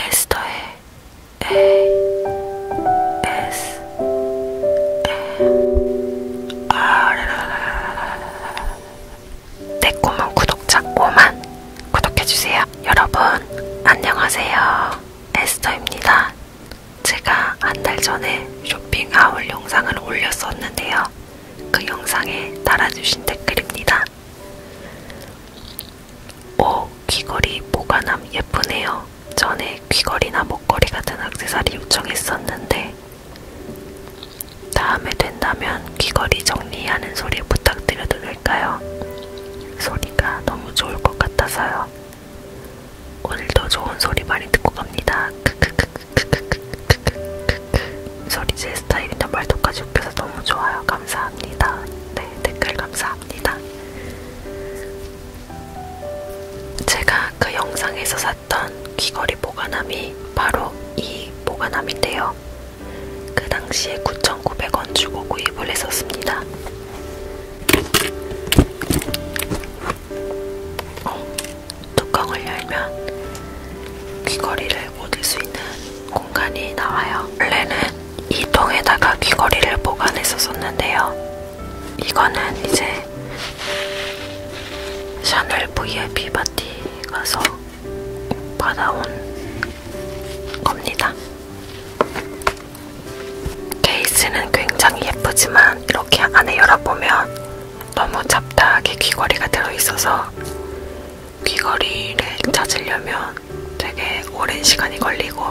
에스터의 ASMR 내 꿈은 구독자 5만 구독해주세요. 여러분 안녕하세요. 에스터입니다. 제가 한 달 전에 쇼핑 하울 영상을 올렸었는데요. 그 영상에 달아주신 댓글입니다. 오, 귀걸이 모가남 예쁘네요. 전에 귀걸이나 목걸이 같은 악세사리 요청했었는데 다음에 된다면 귀걸이 정리하는 소리 부탁드려도 될까요? 소리가 너무 좋을 것 같아서요. 오늘도 좋은 소리 많이 듣고 갑니다. 크크크크크크크크크크크크 소리 제 스타일이나 말도까지 웃겨서 너무 좋아요. 감사합니다. 네, 댓글 감사합니다. 제가 그 영상에서 샀던 귀걸이 보관함이 바로 이 보관함인데요. 그 당시에 9,900원 주고 구입을 했었습니다. 어, 뚜껑을 열면 귀걸이를 꽂을 수 있는 공간이 나와요. 원래는 이 통에다가 귀걸이를 보관했었었는데요. 이거는 이제 샤넬 VIP 파티 가서 받아온 겁니다. 케이스는 굉장히 예쁘지만 이렇게 안에 열어보면 너무 잡다하게 귀걸이가 들어있어서 귀걸이를 찾으려면 되게 오랜 시간이 걸리고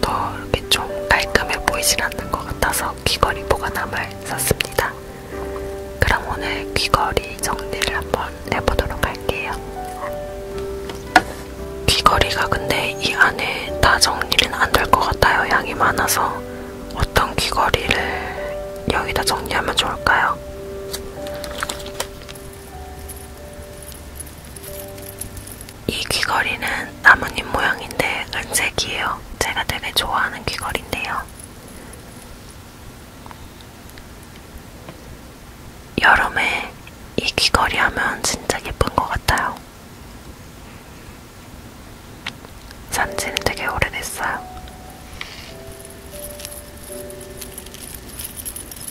더 이렇게 좀 깔끔해 보이진 않는 것 같아서 귀걸이 보관함을 썼습니다. 그럼 오늘 귀걸이 정리를 한번 해보도록 할게요. 귀걸이가 근데 이 안에 다 정리는 안 될 것 같아요. 양이 많아서 어떤 귀걸이를 여기다 정리하면 좋을까요? 이 귀걸이는 나뭇잎 모양인데 은색이에요. 제가 되게 좋아하는 귀걸인데요. 여름에 이 귀걸이 하면 진짜 예쁜 것 같아요. 산지는 되게 오래됐어요.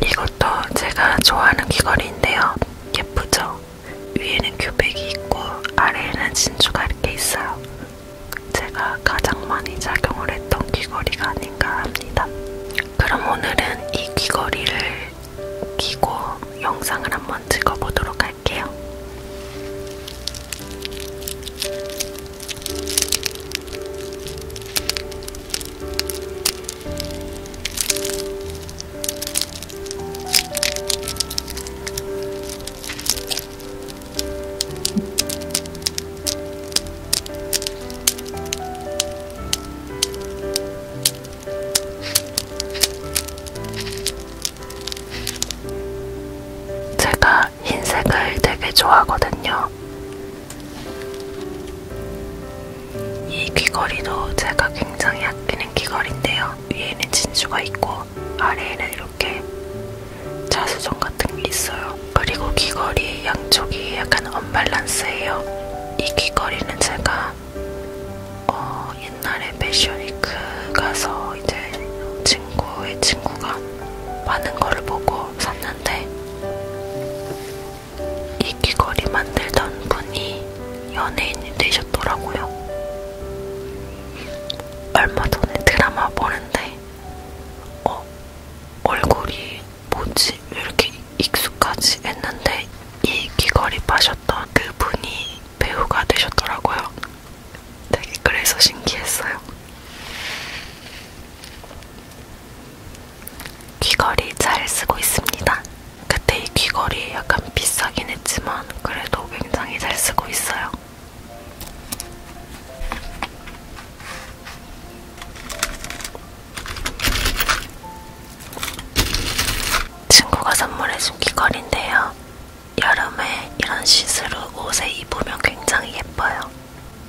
이것도 제가 좋아하는 귀걸이인데요. 예쁘죠? 위에는 규백이 있고 아래에는 진주가 이렇게 있어요. 제가 가장 많이 작용을 했던 귀걸이가 아닌가 합니다. 그럼 오늘은 이 귀걸이를 끼고 영상을 한번 찍어보도록 할게요. 제가 흰색을 되게 좋아하거든요. 이 귀걸이도 제가 굉장히 아끼는 귀걸인데요. 위에는 진주가 있고 아래에는 이렇게 자수정 같은 게 있어요. 그리고 귀걸이 양쪽이 약간 언밸런스예요. 이 귀걸이는 제가 어, 옛날에 패션위크 가서 이제 친구의 친구가 많은 거를 보고 샀는데 이 귀걸이 만들던 분이 연예인이 되셨더라고요. 얼마 전에 드라마 보는데 어, 얼굴이 뭐지? 왜 이렇게 익숙하지? 했는데 이 귀걸이 파셨던 그 분이 배우가 되셨더라고요. 되게 그래서 신기했어요. 귀걸이 잘 쓰고 있습니다. 그때 이 귀걸이 약간 비싸긴 했지만 그래도 굉장히 잘 쓰고 있어요. 친구가 선물해준 귀걸인데요. 여름에 이런 시스루 옷에 입으면 굉장히 예뻐요.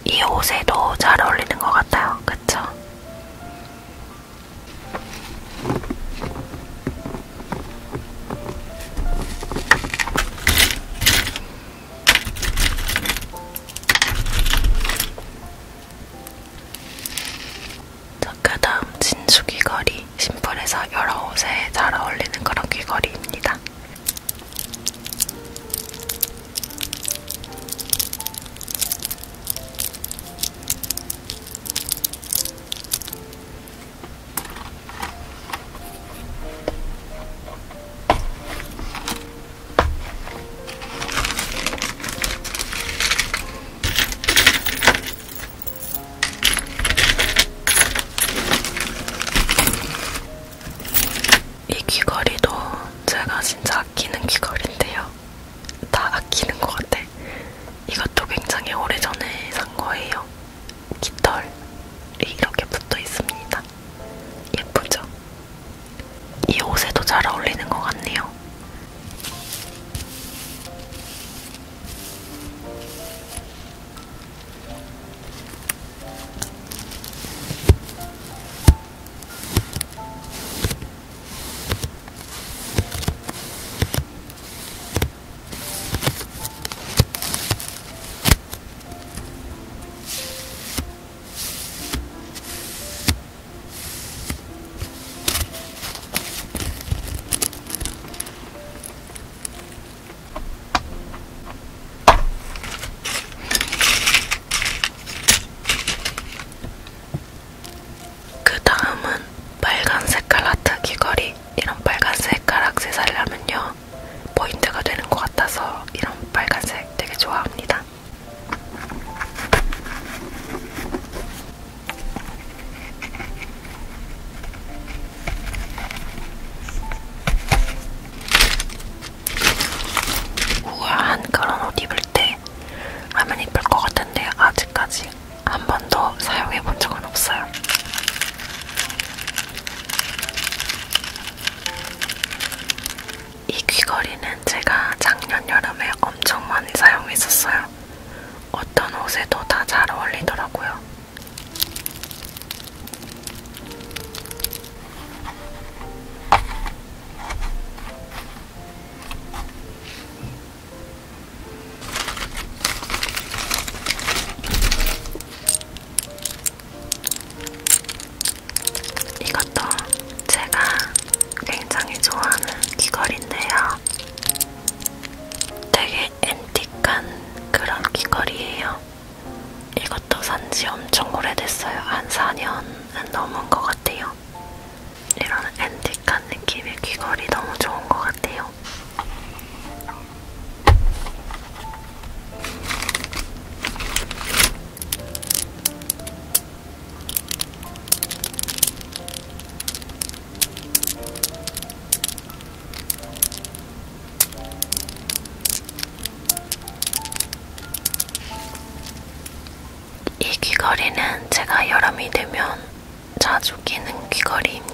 이 옷에도 잘 어울리는 것 같아요. 그쵸? 자, 그 다음 진주 귀걸이. 심플해서 여러 옷에 잘 어울리는 그런 귀걸이입니다. 이 귀걸이도 제가 진짜 아끼는 귀걸인데요. 다 아끼는 것 같아. 이것도 굉장히 오래전에 산 거예요. 깃털이 이렇게 붙어 있습니다. 예쁘죠? 이 옷에도 잘 어울리는 것 같네요. 그 다음은 빨간 색깔 하트 귀걸이. 이런 빨간색 가락세 살려면요 포인트가 되는 것 같아서 이런 빨간색 되게 좋아합니다. 우아한 그런 옷 입을 때 라면 입을 것 같은데 아직까지 한 번도 사용해 본 적은 없어요. 이 귀걸이는 제가 작년 여름에 엄청 많이 사용했었어요. 어떤 옷에도 다 잘 어울리더라고요. 이것도 제가 굉장히 좋아하는 귀걸인데요. 되게 앤틱한 그런 귀걸이에요. 이것도 산지 엄청 오래됐어요. 한 4년은 넘은 것 같아요. 이런 앤틱한 느낌의 귀걸이 너무 좋은 것 같아요. 이 귀걸이는 제가 여름이 되면 자주 끼는 귀걸이입니다.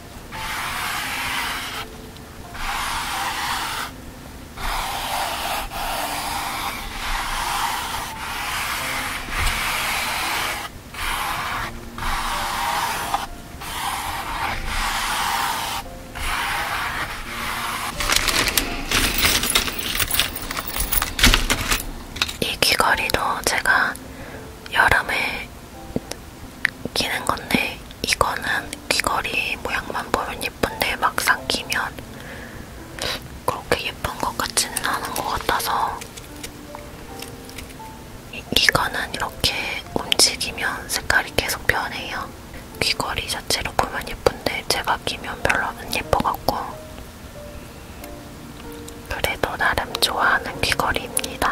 이 귀걸이도 제가 여름에 끼는 건데 이거는 귀걸이 모양만 보면 예쁜데 막상 끼면 그렇게 예쁜 것 같지는 않은 것 같아서 이거는 이렇게 움직이면 색깔이 계속 변해요. 귀걸이 자체로 보면 예쁜데 제가 끼면 별로 안 예뻐갖고 그래도 나름 좋아하는 귀걸이입니다.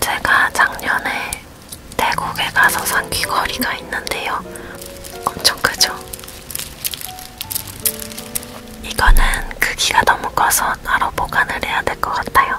제가 작년에 태국에 가서 산 귀걸이가 있는데요. 엄청 크죠? 이거는 크기가 너무 커서 따로 보관을 해야 될 것 같아요.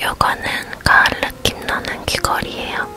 요거는 가을 느낌 나는 귀걸이에요.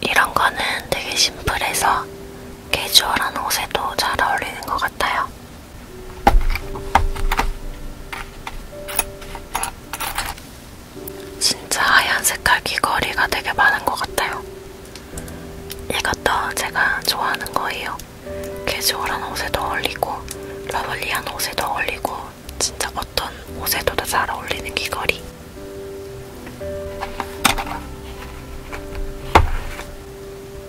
이런 거는 되게 심플해서 캐주얼한 옷에도 잘 어울리는 것 같아요. 진짜 하얀 색깔 귀걸이가 되게 많은 것 같아요. 이것도 제가 좋아하는 거예요. 캐주얼한 옷에도 어울리고 러블리한 옷에도 어울리고 진짜 어떤 옷에도 잘 어울리는 귀걸이.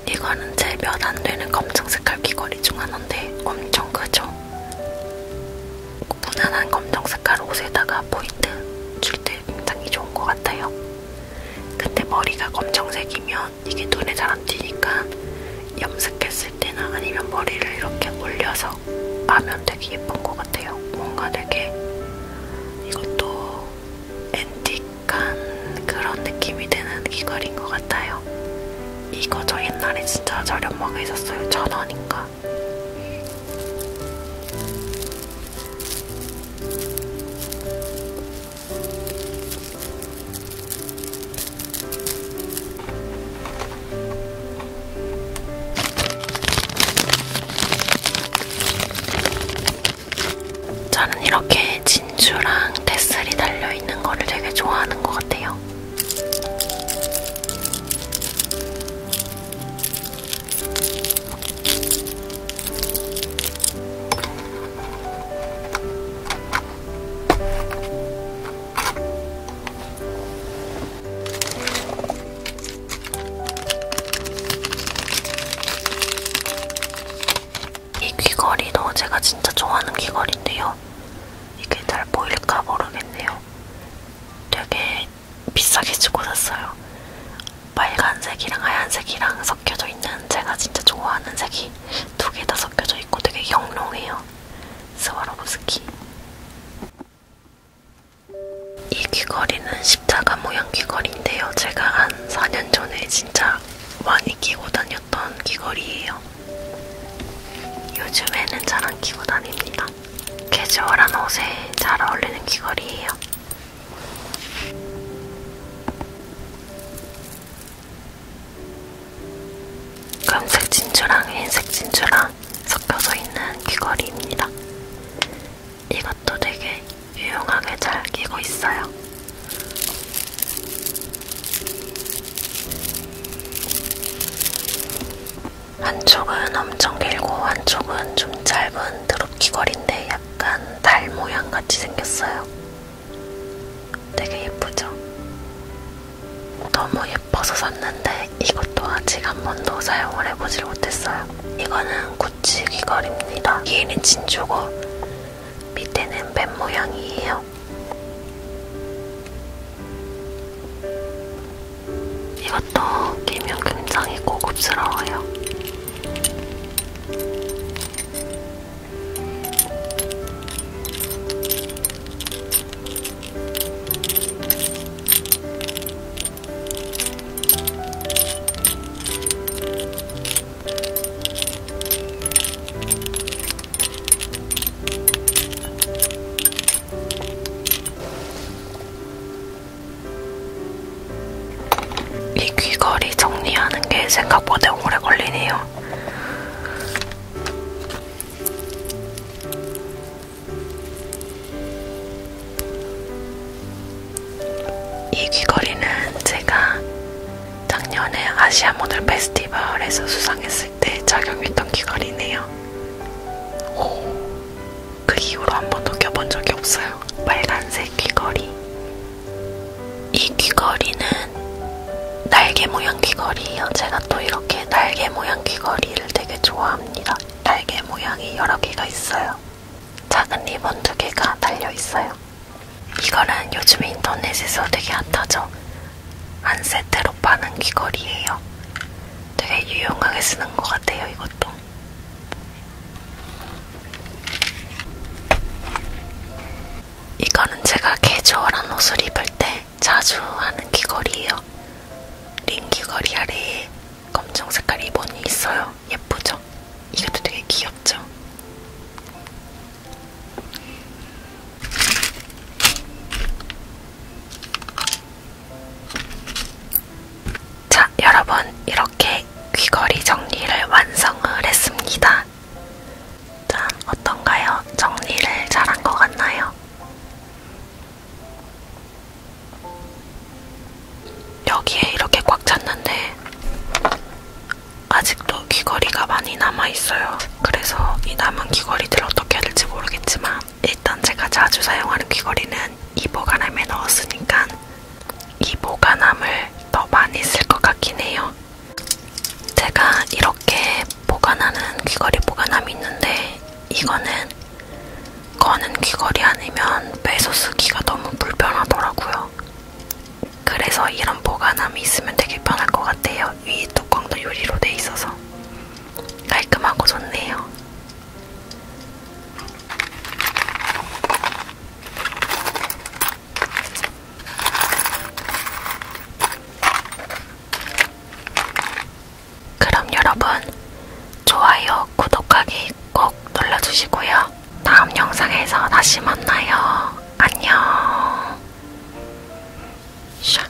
이거는 제몇안 되는 검정 색깔 귀걸이 중 하나인데 엄청 크죠? 무난한 검정 색깔 옷에다가 포인트 줄 때 굉장히 좋은 것 같아요. 근데 머리가 검정색이면 이게 눈에 잘 안 띄니까 염색했을 했을 때나 아니면 머리를 이렇게 올려서 하면 되게 예쁜 것 같아요. 뭔가 되게 이것도 앤틱한 그런 느낌이 드는 귀걸이인 것 같아요. 이거 저 옛날에 진짜 저렴하게 샀어요. 천 원인가. 저는 이렇게 진주랑 테슬이 달려있는 거를 되게 좋아하는 것 같아요. 이 귀걸이도 제가 진짜 좋아하는 귀걸인데요. 이게 잘 보일까 모르겠네요. 되게 비싸게 주고 샀어요. 빨간색이랑 하얀색이랑 섞여져 있는 제가 진짜 좋아하는 색이 두 개 다 섞여져 있고 되게 영롱해요. 스와로브스키 이 귀걸이는 십자가 모양 귀걸이인데요. 제가 한 4년 전에 진짜 많이 끼고 다녔던 귀걸이에요. 요즘에는 잘 안 끼고 다닙니다. 캐주얼한 옷에 잘 어울리는 귀걸이에요. 검색 진주랑 흰색 진주랑 섞여서 있는 귀걸이입니다. 이것도 되게 유용하게 잘 끼고 있어요. 한쪽은 엄청 길고 한쪽은 좀 짧은 드롭 귀걸인데 약간 달 모양같이 생겼어요. 되게 예쁘죠? 너무 예뻐서 샀는데 이것도 아직 한 번도 사용을 해보질 못했어요. 이거는 구찌 귀걸이입니다. 위에는 진주고 밑에는 뱀 모양이에요. 이것도 끼면 굉장히 고급스러워요. 이 귀걸이 정리하는 게 생각보다 오래 걸리네요. 이 귀걸이는 제가 작년에 아시아 모델 페스티벌에서 수상했을 때 착용했던 귀걸이네요. 오, 그 이후로 한 번도 껴본 적이 없어요. 빨간색 귀걸이. 이 귀걸이는 저는 날개 모양 귀걸이에요. 제가 또 이렇게 날개 모양 귀걸이를 되게 좋아합니다. 날개 모양이 여러 개가 있어요. 작은 리본 두 개가 달려 있어요. 이거는 요즘 인터넷에서 되게 핫하죠. 한 세트로 파는 귀걸이에요. 되게 유용하게 쓰는 것 같아요, 이것도. 이거는 제가 캐주얼한 옷을 입을 때 자주 하는 귀걸이에요. 링 귀걸이 아래에 검정 색깔 리본이 있어요. 예쁘죠? 이것도 되게 귀엽죠? 자, 여러분 이렇게 귀걸이 정리를 완성을 했습니다. 짠, 어떤가요? 정리를 잘한 것 같나요? 여기에 이렇게 꽉 찼는데 아직도 귀걸이가 많이 남아있어요. 그래서 이 남은 귀걸이들 어떻게 해야 될지 모르겠지만 일단 제가 자주 사용하는 귀걸이는 이 보관함에 넣었으니까 이 보관함을 더 많이 쓸 것 같긴 해요. 제가 이렇게 보관하는 귀걸이 보관함이 있는데 이거는 거는 귀걸이 아니면 빼서 쓰기가 너무 불편하더라고요. 그래서 이런 보관함이 있으면 되게 편할 것 같아요. 위 뚜껑도 유리로 돼 있어서 깔끔하고 좋네요. 그럼 여러분 좋아요, 구독하기 꼭 눌러주시고요. 다음 영상에서 다시 만나요. 안녕. 샤.